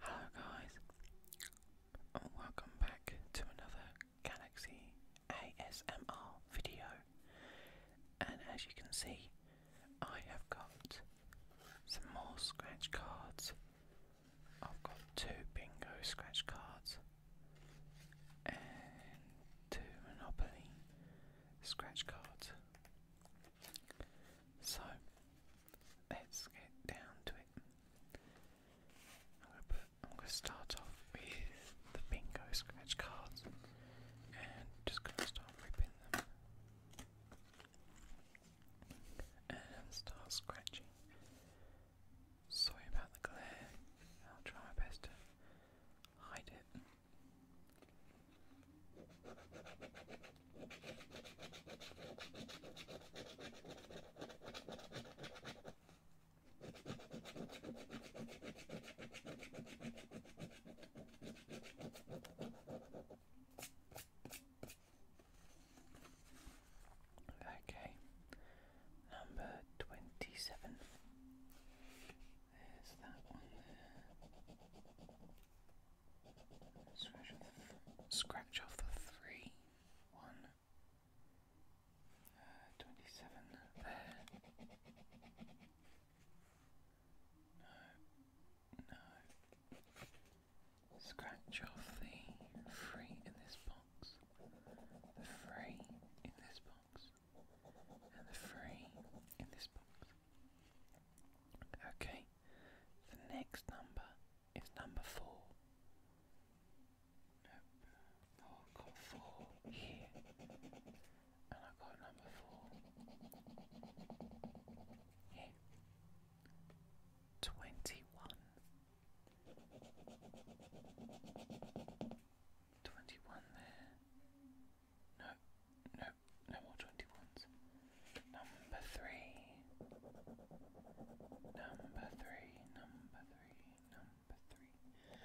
Hello guys, and welcome back to another Galaxy ASMR video. And as you can see, I have got some more scratch cards. I've got two bingo scratch cards and two Monopoly scratch cards. So let's get down to it. I'm gonna, start off with the bingo scratch cards and just gonna start ripping them and start scratching. Sorry about the glare, I'll try my best to hide it. Okay, number twenty seven. There's that one there. Scratch off the, scratch off the three. One. Uh, 27 there. Uh, no, no. Scratch off the three in this box. The three in this box. And the three in this box. Okay, the next number it's number four. Nope. i got four here. And i got number four here. 21. 21 there. No, no, no more 21s. Number three, number three, number three, number three,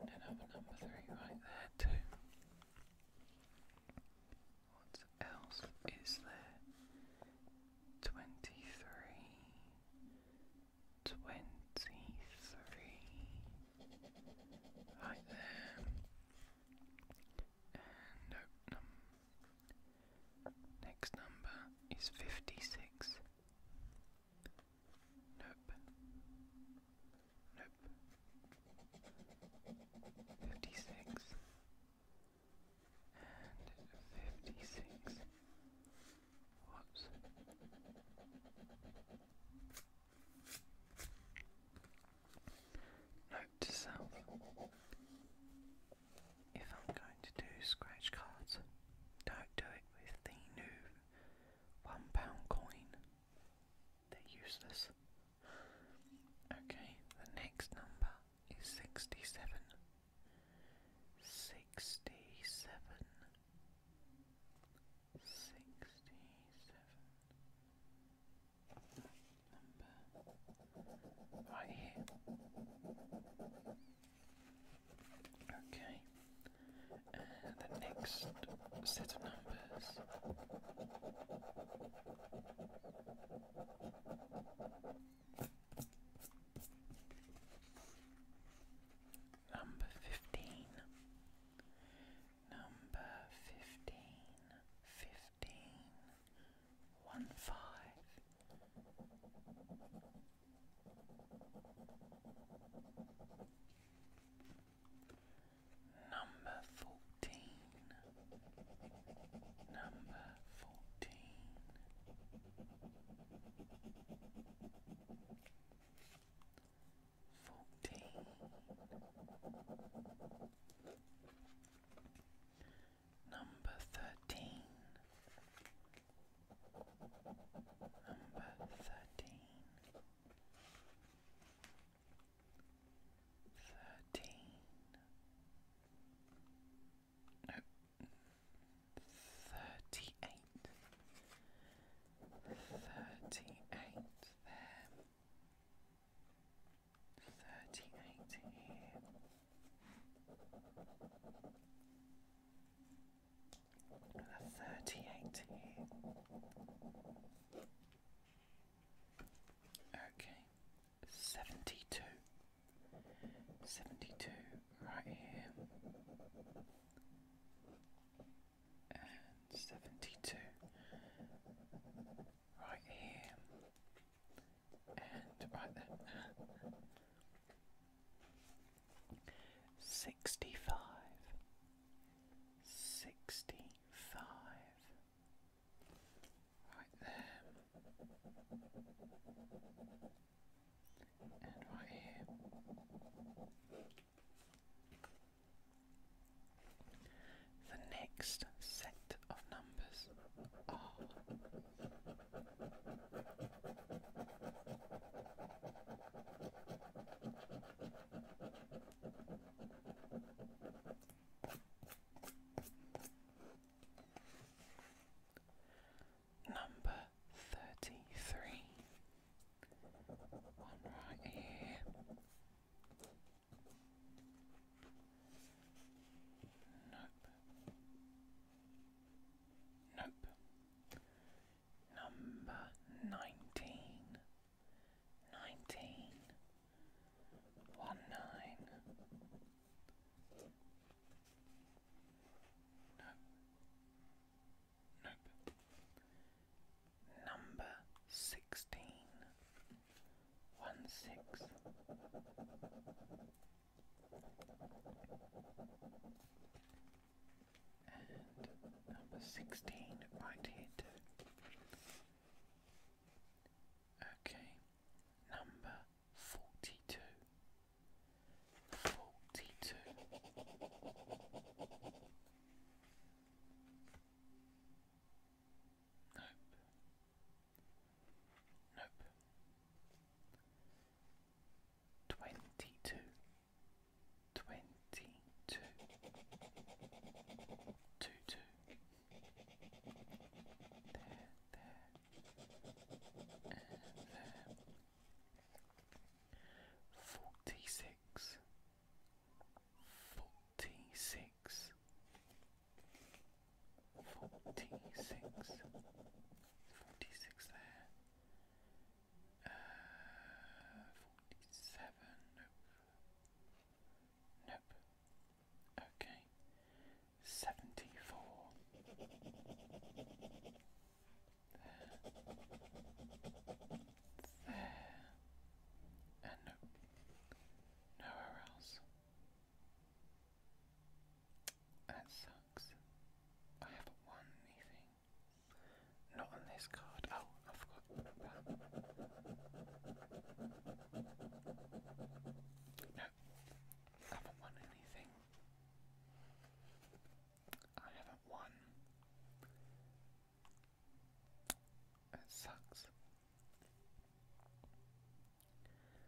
and another number three right there too. What else is there? Twenty three, twenty three, right there. And uh, Next number is 56. Nope. Nope. 56. And 56. Whoops. Note to self. If I'm going to do scratch cards, don't do it with the new one pound coin. They're useless. Okay, the next number is sixty-seven. Sixty-seven. Sixty-seven. Number right here. Okay, the next set of numbers. Number fifteen, number fifteen, fifteen, one five. Number fourteen, number fourteen, fourteen, Number thirteen. Number thirteen. Thirteen. No. Thirty-eight. Thirty-eight there. Thirty-eight here a thirty-eight here. Okay, seventy-two. Seventy-two right here. And seventy-two right here and right then. Sixty five, sixty five, right there, and right here. The next set of numbers are Number thirty three. One right here. Nope. Nope. Number nineteen. Nineteen. One nine. Nope. Nope. Number sixteen. One six. And uh, number 16 right here Okay, number 42. 42. Nope. Nope twenty two, twenty two, two two. There, there, and there. Forty six, forty six. Forty six, 46 there. Uh, 47, nope. Nope. Okay. 74. There. There. And nope. Nowhere else. That sucks. Uh, I haven't won anything. Not on this card. Oh, I forgot No, I haven't won anything. I haven't won. That sucks.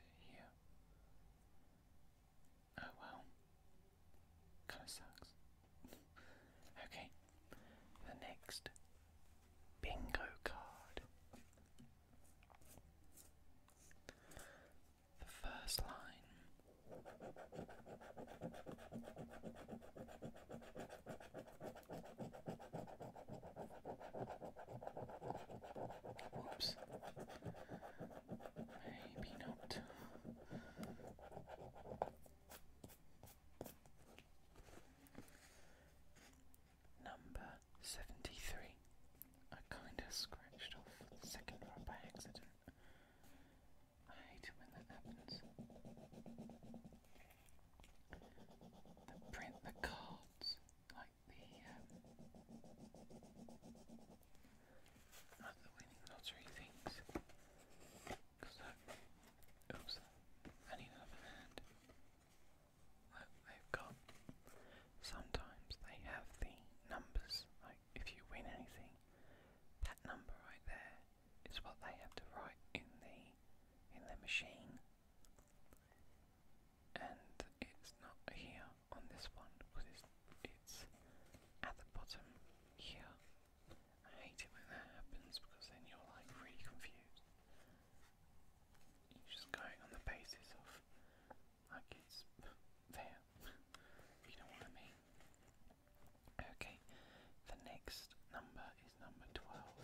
and here. Oh well. Kinda sucks. okay. The next bingo card. The first line Oops. Maybe not. Number 73. I kind of scratched off the second one by accident. I hate when that happens that print the cards, like the, um, the winning lottery things. Because that, oops, I need another hand. Look, they've got, sometimes they have the numbers, like if you win anything, that number right there is what they have to write in the in the machine. And it's not here on this one because it's, at the bottom here. I hate it when that happens because then you're like really confused. you just going on the basis of like it's there. if you know what I mean. Okay, the next number is number 12.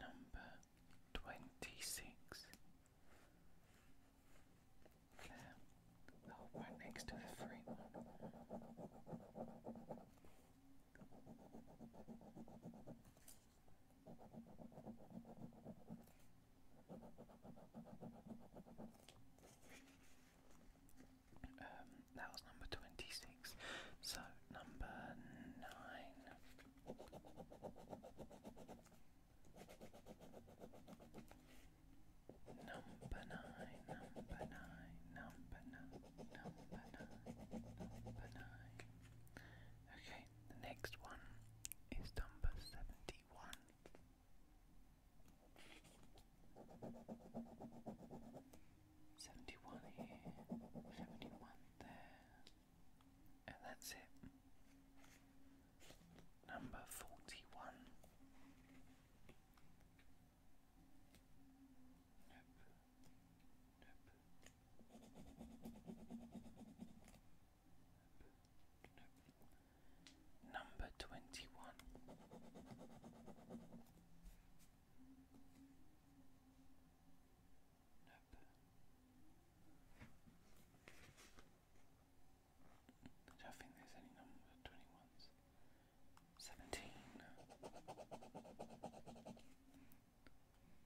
Number 26. There. Oh, right next to the free one. Um, that was number twenty six. So Number nine, number nine, number nine, number nine, number nine. Okay, the next one is number 71. Seventy-one here, seventy-one there, and that's it. Number forty-one. Number twenty one. don't think there's any number twenty ones. Seventeen.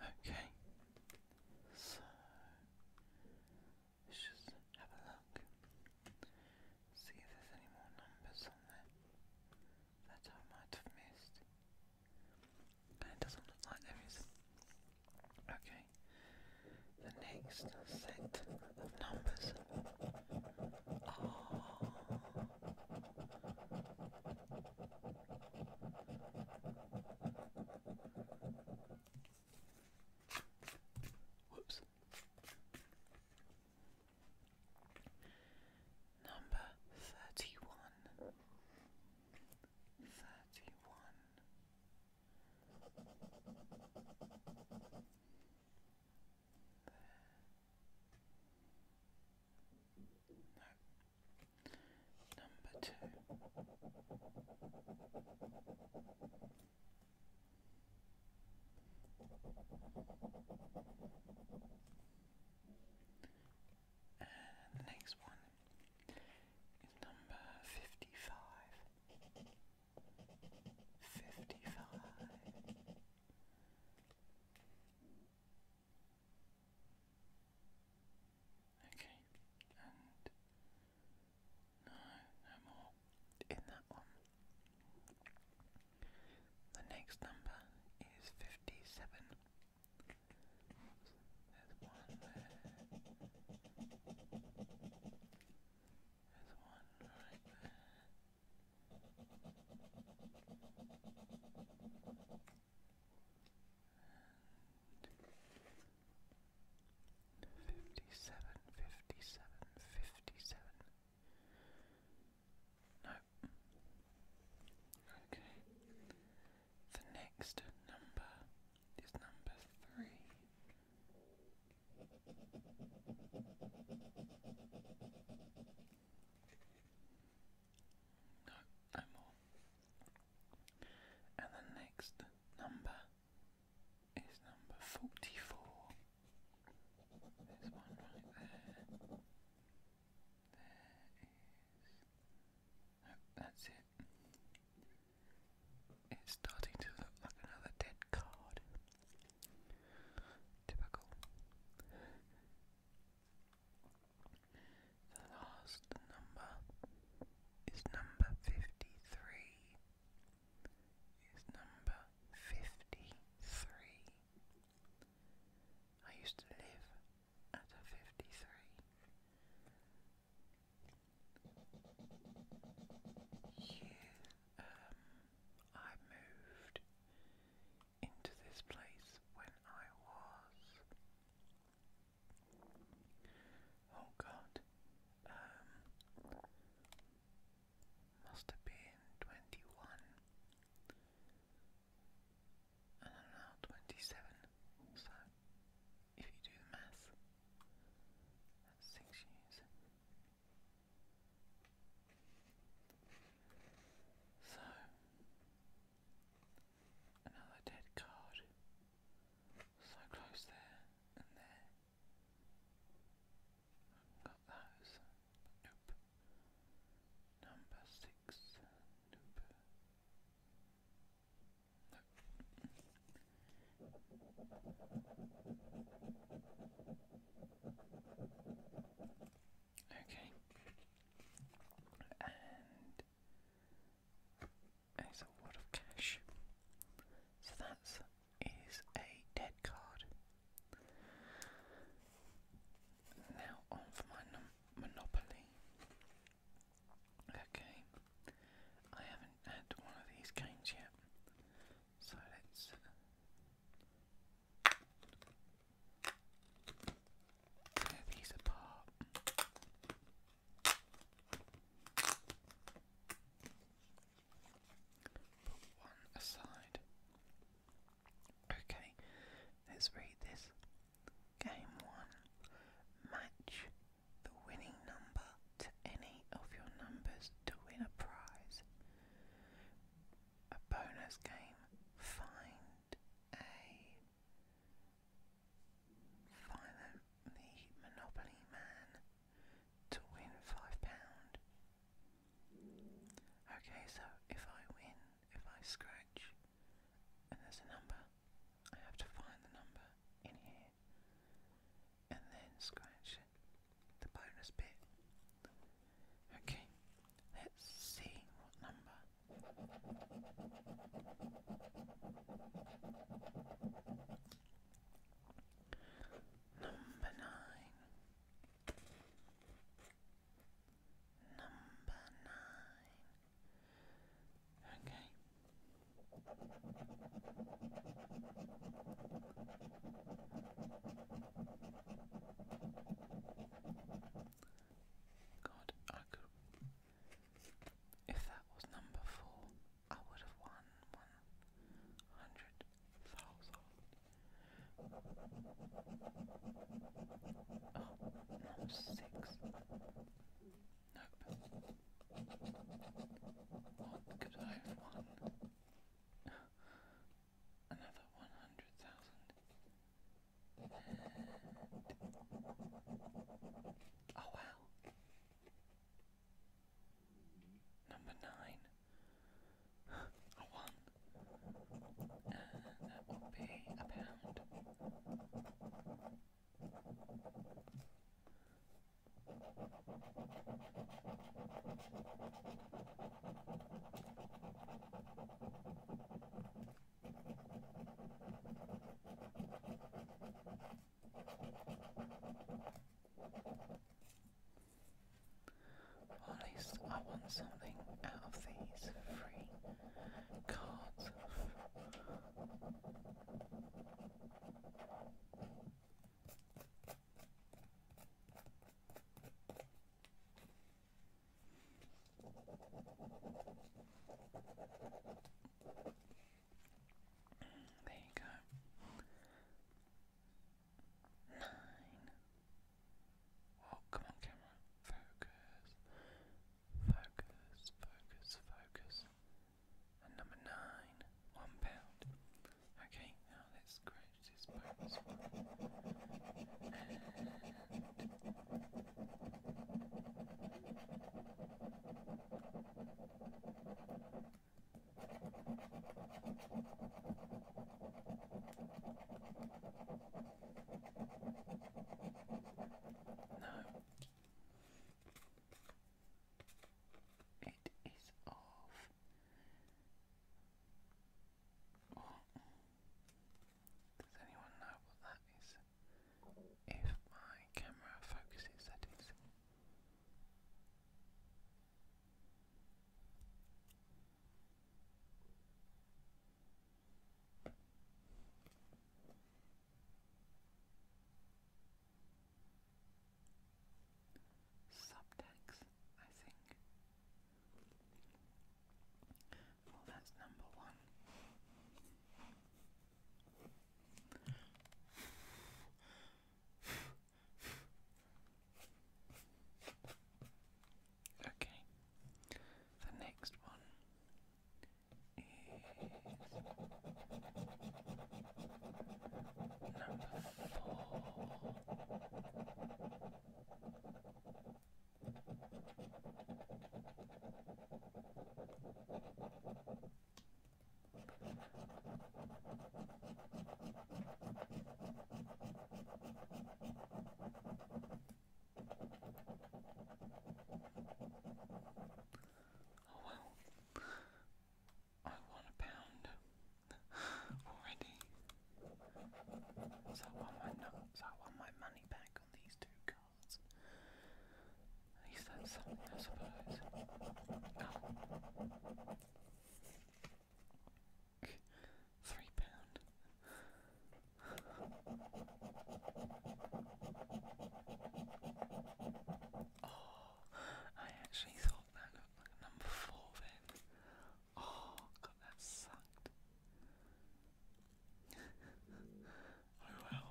Okay, so let's just have a look, see if there's any more numbers on there that I might have missed. And it doesn't look like there is. Okay, the next set of numbers are Whoops. Number thirty one. Thirty one. There. No. Number two. And the next one is number fifty five. Okay, and no, no more in that one. The next number is 57. There's one There's one right there and fifty-seven, fifty-seven, fifty-seven. No. Okay. The next number is number three. No, no more. And the next number is number 44. There's one right there. There is. Nope, that's it. It's starting to look like another dead card. Typical. The last number is number fifty three. Is number fifty three. I used to live at a fifty three. You, um, I moved into this place when I was Oh god. Um, must have been twenty one. I don't know, twenty seven. So if you do the math that's six years. So Another dead card. So close there and there. Got those. Nope. Number six. Nope. Nope. Okay. And it's a wad of cash. So that is a dead card. Now on for my Monopoly. Okay, I haven't had one of these games yet, so let's Tear these apart. Put one aside. Okay, let's read this. Game one. Match the winning number to any of your numbers to win a prize. A bonus game. Find Philo the Monopoly Man to win five pound. Okay, so if I win, if I scratch and there's a number, I have to find the number in here and then scratch the bonus bit. Okay, let's see what number Number nine. Number nine. Okay. God, I could if that was number four, I would have won one hundred thousand. Oh, no, six. Nope. What oh, could I have won? Another one hundred thousand. Oh wow. Number nine. A one. And that will be a pound. Or at least I want something out of these free cards. There you go. Nine. Oh, come on, camera. Focus. Focus, focus, focus. And number nine. One pound. Okay, now let's scratch this no. It is off. Oh. Does anyone know what that is? if my camera focuses, that is. Subtext, I think. Well, that's number one. Okay, the next one is number four. Oh well, I want a pound already. So I want my nuts, I want my money back on these two cards. At least that's something, I suppose. Three pound. oh, I actually thought that looked like number four then. Oh, God, that sucked oh well,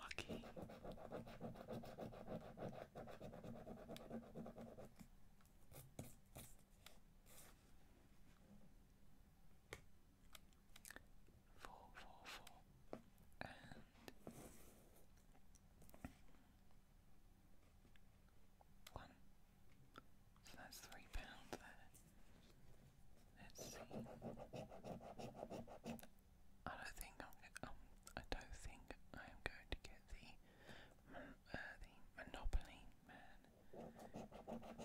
lucky. Four, four, four, and one. So that's three pounds there. Let's see. I don't think I'm. Um, I don't think I am going to get the uh, the Monopoly Man. Uh,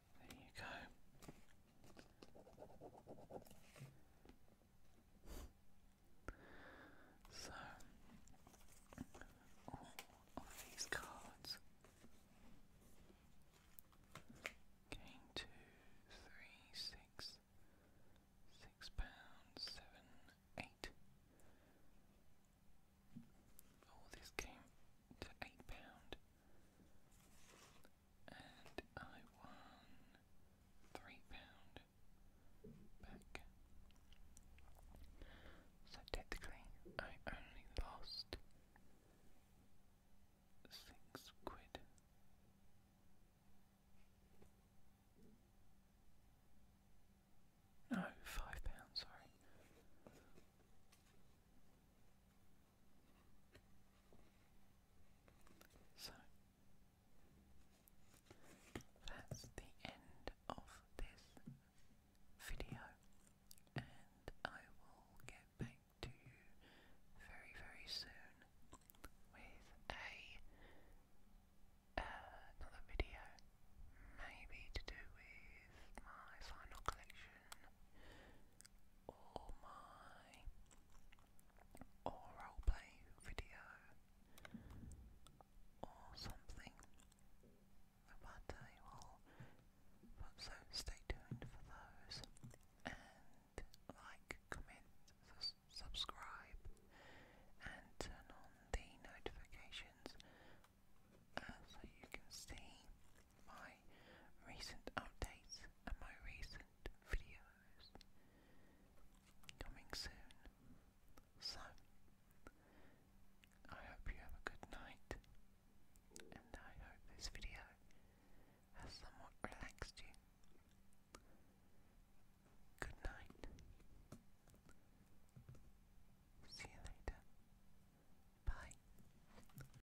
There you go. So, all of these cards. Gain pounds, seven, eight. All this came to eight pound, and I won three pound back. So technically, I only lost six quid. No, five pounds, sorry. So that's the end of this video, and I will get back to you very, very soon with a uh, another video, maybe to do with my final collection all my roleplay video or something. But I will but so stay tuned for those and like, comment, subscribe and turn on the notifications uh, so you can see my recent updates and my recent videos coming soon. So, I hope you have a good night, and I hope this video has somewhat relaxed you. Good night. See you later. Bye.